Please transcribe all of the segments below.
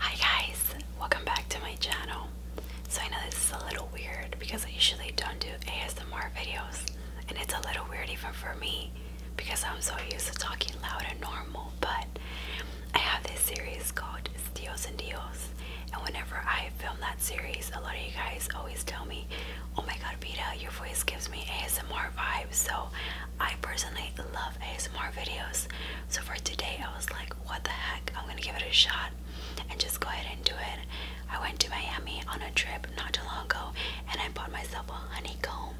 Hi guys, welcome back to my channel. So I know this is a little weird because I usually don't do ASMR videos and it's a little weird even for me because I'm so used to talking loud and normal but I have this series called Deals and Deals and whenever I film that series a lot of you guys always tell me oh my god Vita your voice gives me ASMR vibes so I personally love ASMR videos so for today, I was like, what the heck? I'm gonna give it a shot and just go ahead and do it. I went to Miami on a trip not too long ago and I bought myself a honeycomb.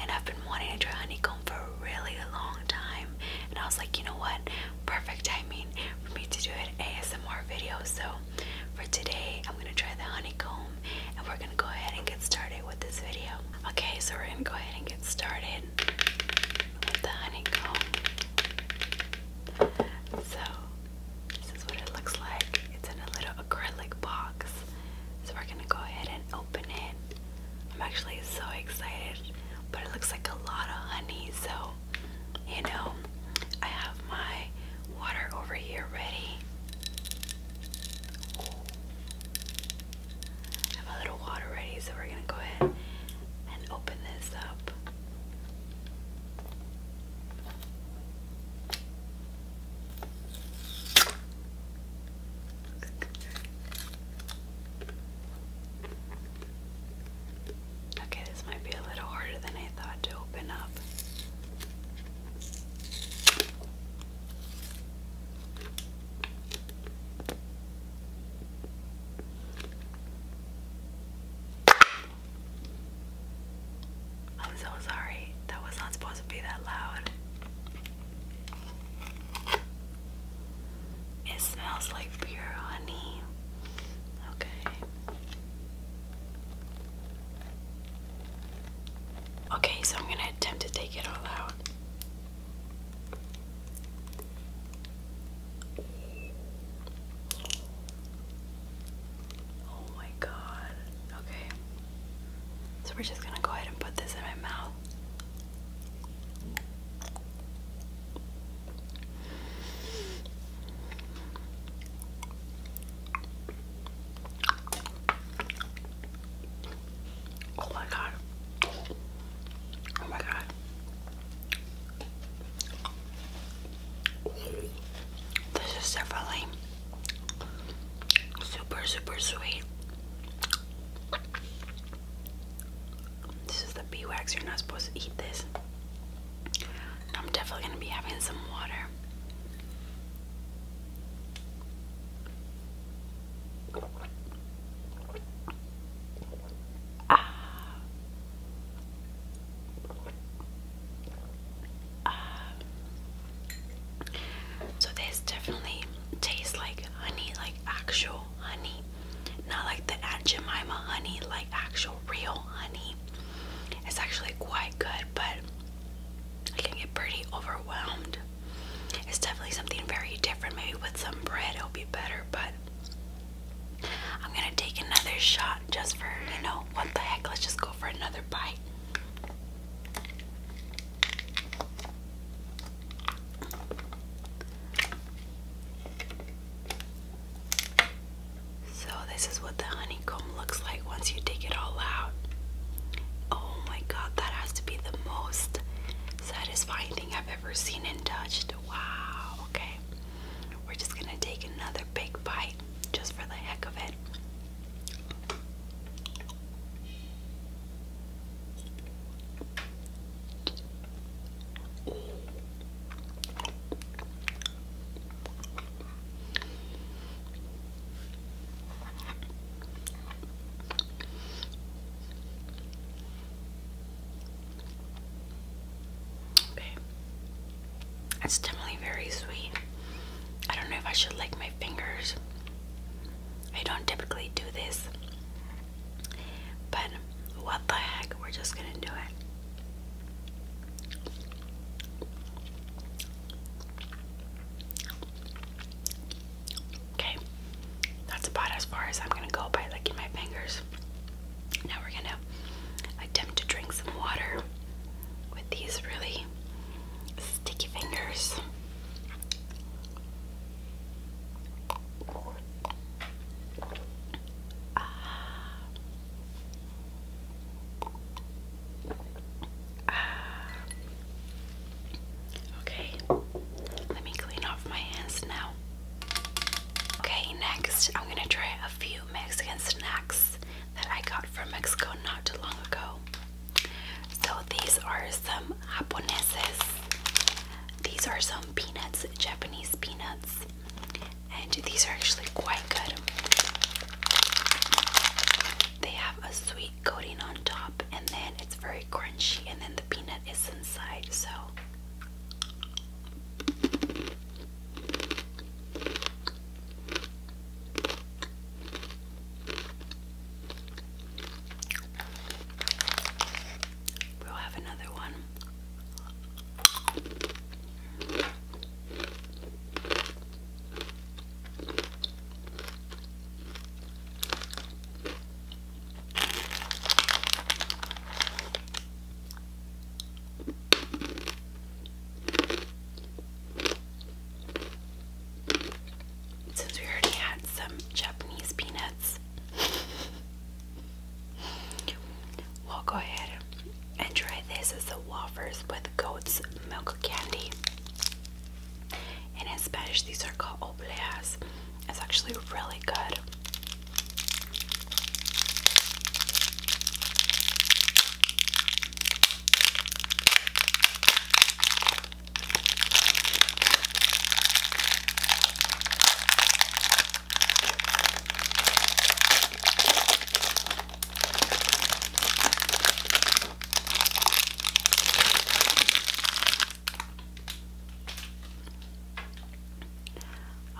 And I've been wanting to try honeycomb for a really long time. And I was like, you know what? Perfect timing for me to do an ASMR video. So for today, I'm gonna try the honeycomb and we're gonna go ahead and get started with this video. Okay, so we're gonna go ahead and get started the honeycomb. So this is what it looks like. It's in a little acrylic box. So we're gonna go ahead and open it. I'm actually so excited, but it looks like a lot of honey. So you know, I have my water over here ready have a little water ready, so we're gonna go ahead and open this up. Okay, this might be a little harder than I thought to open up. I'm so sorry. That was not supposed to be that loud. It smells like pure honey. Okay. Okay, so I'm gonna attempt to take it all out. Oh my god. Okay. So we're just gonna go ahead and put this in my mouth. Oh my god. Oh my god. This is definitely super, super sweet. This is the bee wax. You're not supposed to eat this. I'm definitely going to be having some water. Ah. So this definitely tastes like honey, like actual honey, not like the agemima honey, like actual real honey. It's actually quite good, but I can get pretty overwhelmed. It's definitely something very different. Maybe with some bread it'll be better, but I'm gonna take another shot just for, you know, what the heck, let's just go for another bite. So, this is what the honey looks like once you take it all out. Oh my god, that has to be the most satisfying thing I've ever seen and touched. Wow, okay. We're just gonna take another big bite just for the heck of it. Babe, it's definitely very sweet. I don't know if I should lick my fingers. I don't typically do this, but what the heck, we're just gonna do it. Okay, that's about as far as I'm gonna go by licking my fingers. Now we're gonna attempt to drink some water with these really sticky fingers. Ah. okay, let me clean off my hands now. Okay, next I'm gonna try a few Mexican snacks that I got from Mexico not too long ago. So these are some japoneses. These are some peanuts, Japanese peanuts and these are actually quite good. They have a sweet coating on top, and then it's very crunchy, and then the peanut is inside. So, we'll have another one. Since we already had some Japanese peanuts, We'll go ahead and try this as the wafers with goat's milk candy. And in Spanish, these are called oblias. It's actually really good.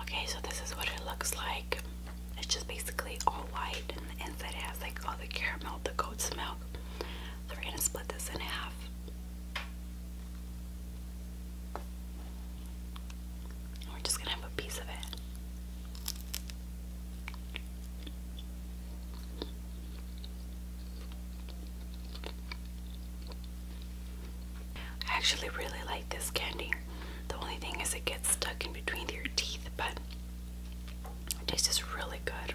Okay, so this is what it looks like. It's just basically all white, and the inside has like all the caramel, the goat's milk. So we're gonna split this in half. We're just gonna have a piece of it. I actually really like this candy. The only thing is it gets stuck in between your teeth, but it tastes really good.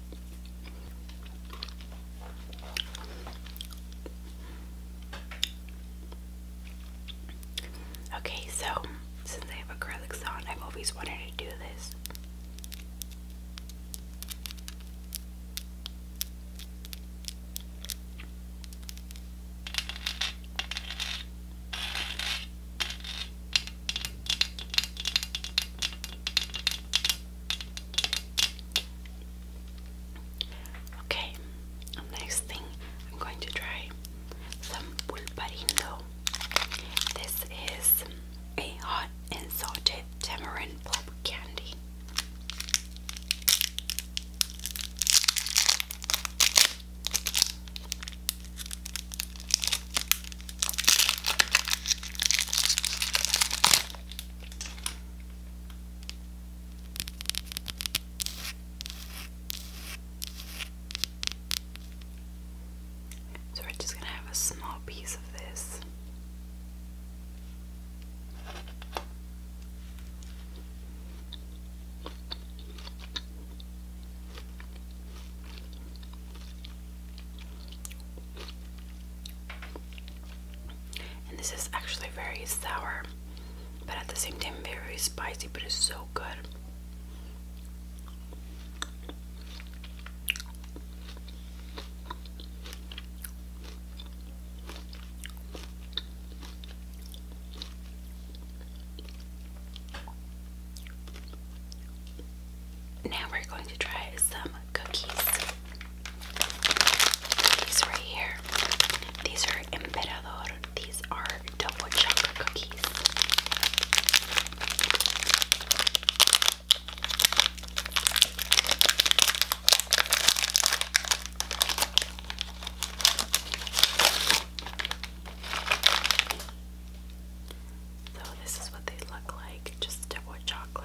Okay, so since I have acrylics on, I've always wanted to do this. Okay, next thing I'm going to try some pulparindo. This is a hot and salted tamarind pulp candy. So we're just going to have a small piece of this. And this is actually very sour, but at the same time, very spicy, but it's so good now we're going to try some cookies. These right here. These are Emperador. These are double chocolate cookies. So this is what they look like, just double chocolate.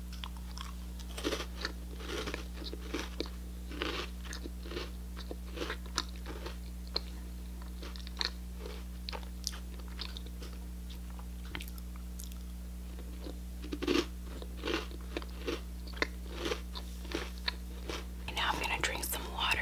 now I'm going to drink some water.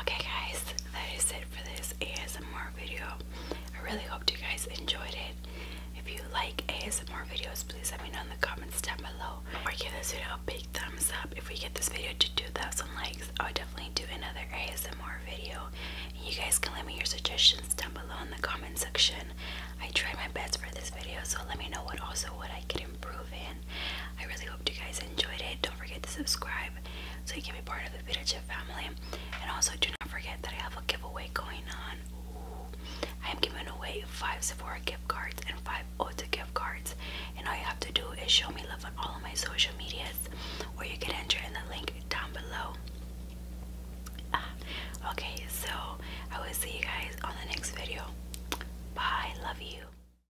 Okay, guys, that is it for this ASMR video. I really hope you guys enjoyed it. If you like ASMR videos, please let me know in the comments down below. Or give this video a big thumbs up. If we get this video to 2,000 likes, I'll definitely do another ASMR video. you guys can let me your suggestions down below in the comment section. I tried my best for this video, so let me know what also what I can improve in. I really hope you guys enjoyed it. Don't forget to subscribe so you can be part of the Vita Chip family. And also, do not forget that I have a giveaway going on. I am giving away five Sephora gift cards and five Ulta gift cards. And all you have to do is show me love on all of my social medias, or you can enter in the link down below. Ah, okay, so I will see you guys on the next video. Bye, love you.